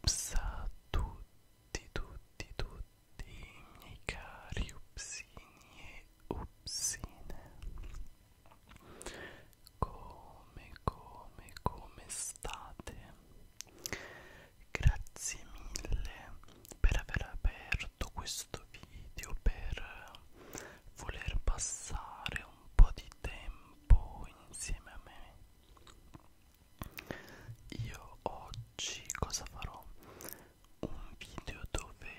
Ups a tutti, tutti, tutti miei cari upsini e upsine. Come, come, come state? grazie mille per aver aperto questo video per voler passare un po' di tempo insieme a me io oggi cosa farò un video dove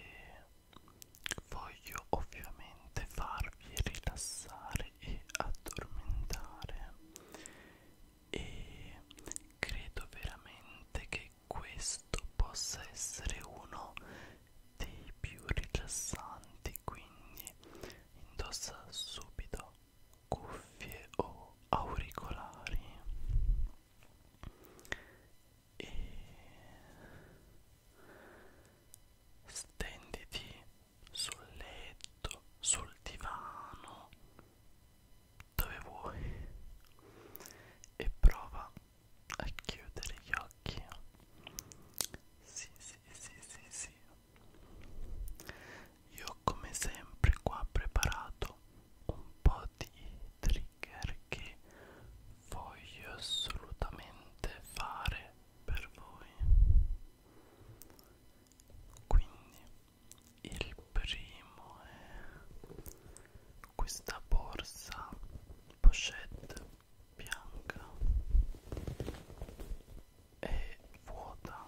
voglio ovviamente farvi rilassare e addormentare e credo veramente che questo possa essere uno dei più rilassanti quindi indossa subito cuffie o auricolari e stenditi sul letto, sul divano, dove vuoi e prova a chiudere gli occhi. Sì, sì, sì, sì, sì. Io come sempre qua ho preparato un po' di trigger che voglio assolutamente fare per voi. Quindi il primo è questa borsa pochette bianca è vuota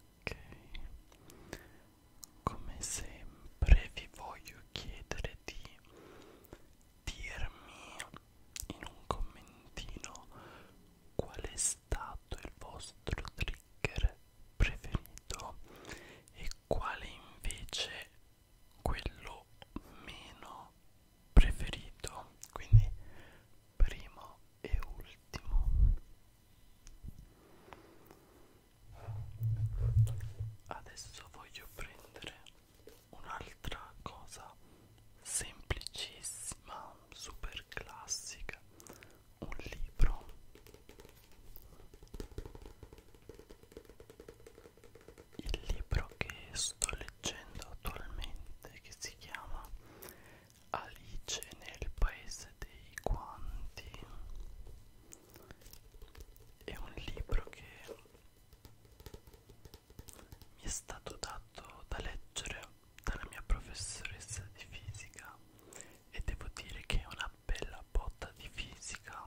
Ok, come sempre vi voglio chiedere di dirmi in un commentino qual è stato il vostro trigger preferito e quale invece quello meno preferito quindi primo e ultimo adesso voglio prendere un'altra cosa semplicissima, super classica, un libro. Il libro che sto leggendo attualmente che si chiama Alice nel paese dei guanti è un libro che mi è stato dato da leggere dalla mia professoressa di fisica e devo dire che è una bella botta di fisica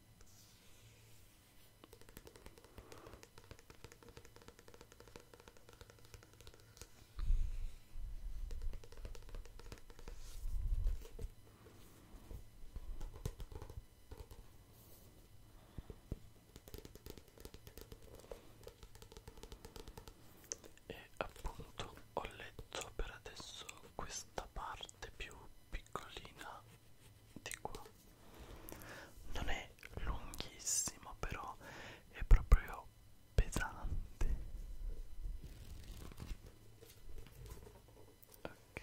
e appunto ho letto per adesso questa parte più piccolina di qua non è lunghissimo però è proprio pesante ok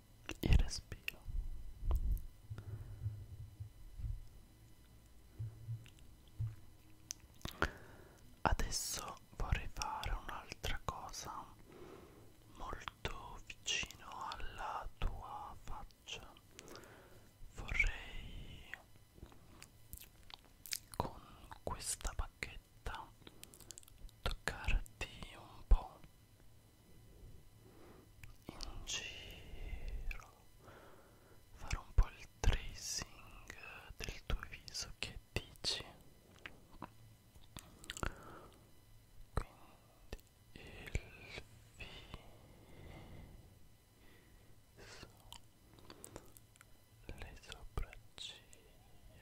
il respiro adesso vorrei fare un'altra cosa molto vicino alla tua faccia vorrei con questa bacchetta toccarti un po' in giro fare un po' il tracing del tuo viso che dici quindi il viso le sopracciglia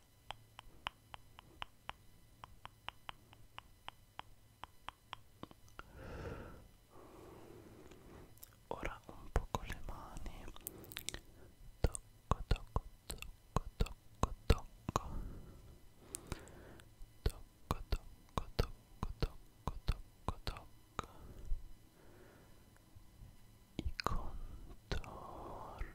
Ora un po' con le mani tocco tocco tocco tocco tocco tocco tocco tocco tocco tocco tocco i contorni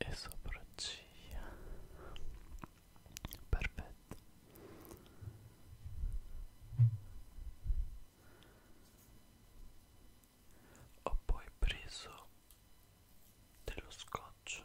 e sopracciglia perfetto ho poi preso dello scotch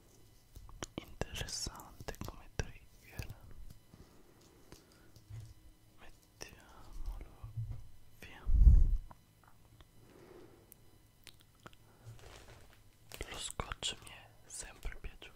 interessante come trigger mettiamolo via lo scotch mi è sempre piaciuto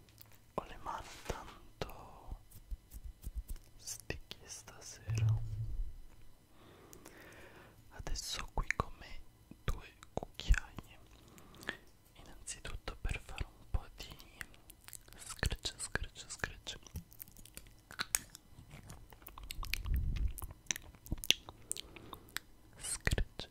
ho le mani tanto sticky stasera adesso ho qui con me due cucchiai innanzitutto per fare un po' di scratch scratch scratch Scratch,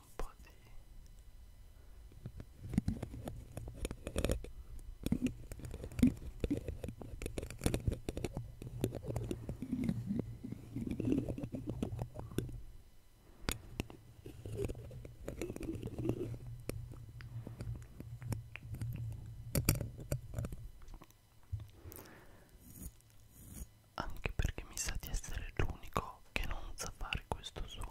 mettiamo un po' di anche perché mi sa di essere l'unico che non sa fare questo suono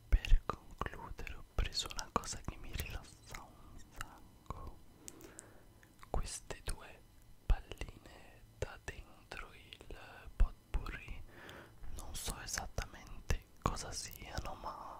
Per concludere ho preso una cosa che mi rilassa un sacco. Queste due palline da dentro il potpourri. Non so esattamente cosa siano, ma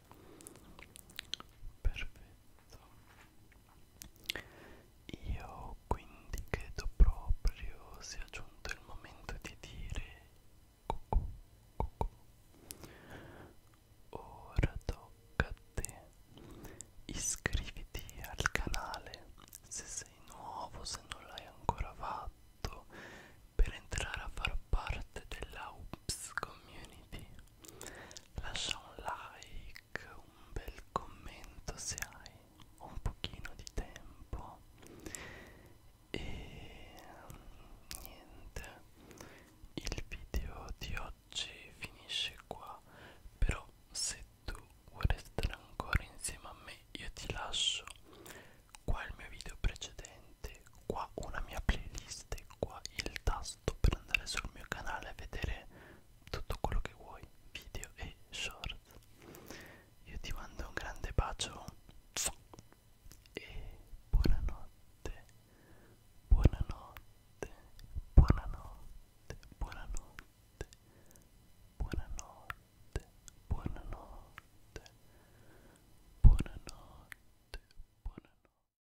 perfetto io quindi credo proprio sia giunto il momento di dire cucù cucù ora tocca a te iscriviti al canale se sei nuovo se non l'hai ancora fatto per entrare a far parte della UPS community lascia un like, un bel commento se hai un pochino di tempo e niente il video di oggi finisce qua però se tu vuoi restare ancora insieme a me io ti lascio qua il mio video precedente qua una mia playlist e qua il tasto sto per andare sul mio canale a vedere tutto quello che vuoi, video e shorts. Io ti mando un grande bacio e buonanotte, buonanotte, buonanotte, buonanotte, buonanotte, buonanotte, buonanotte, buonanotte.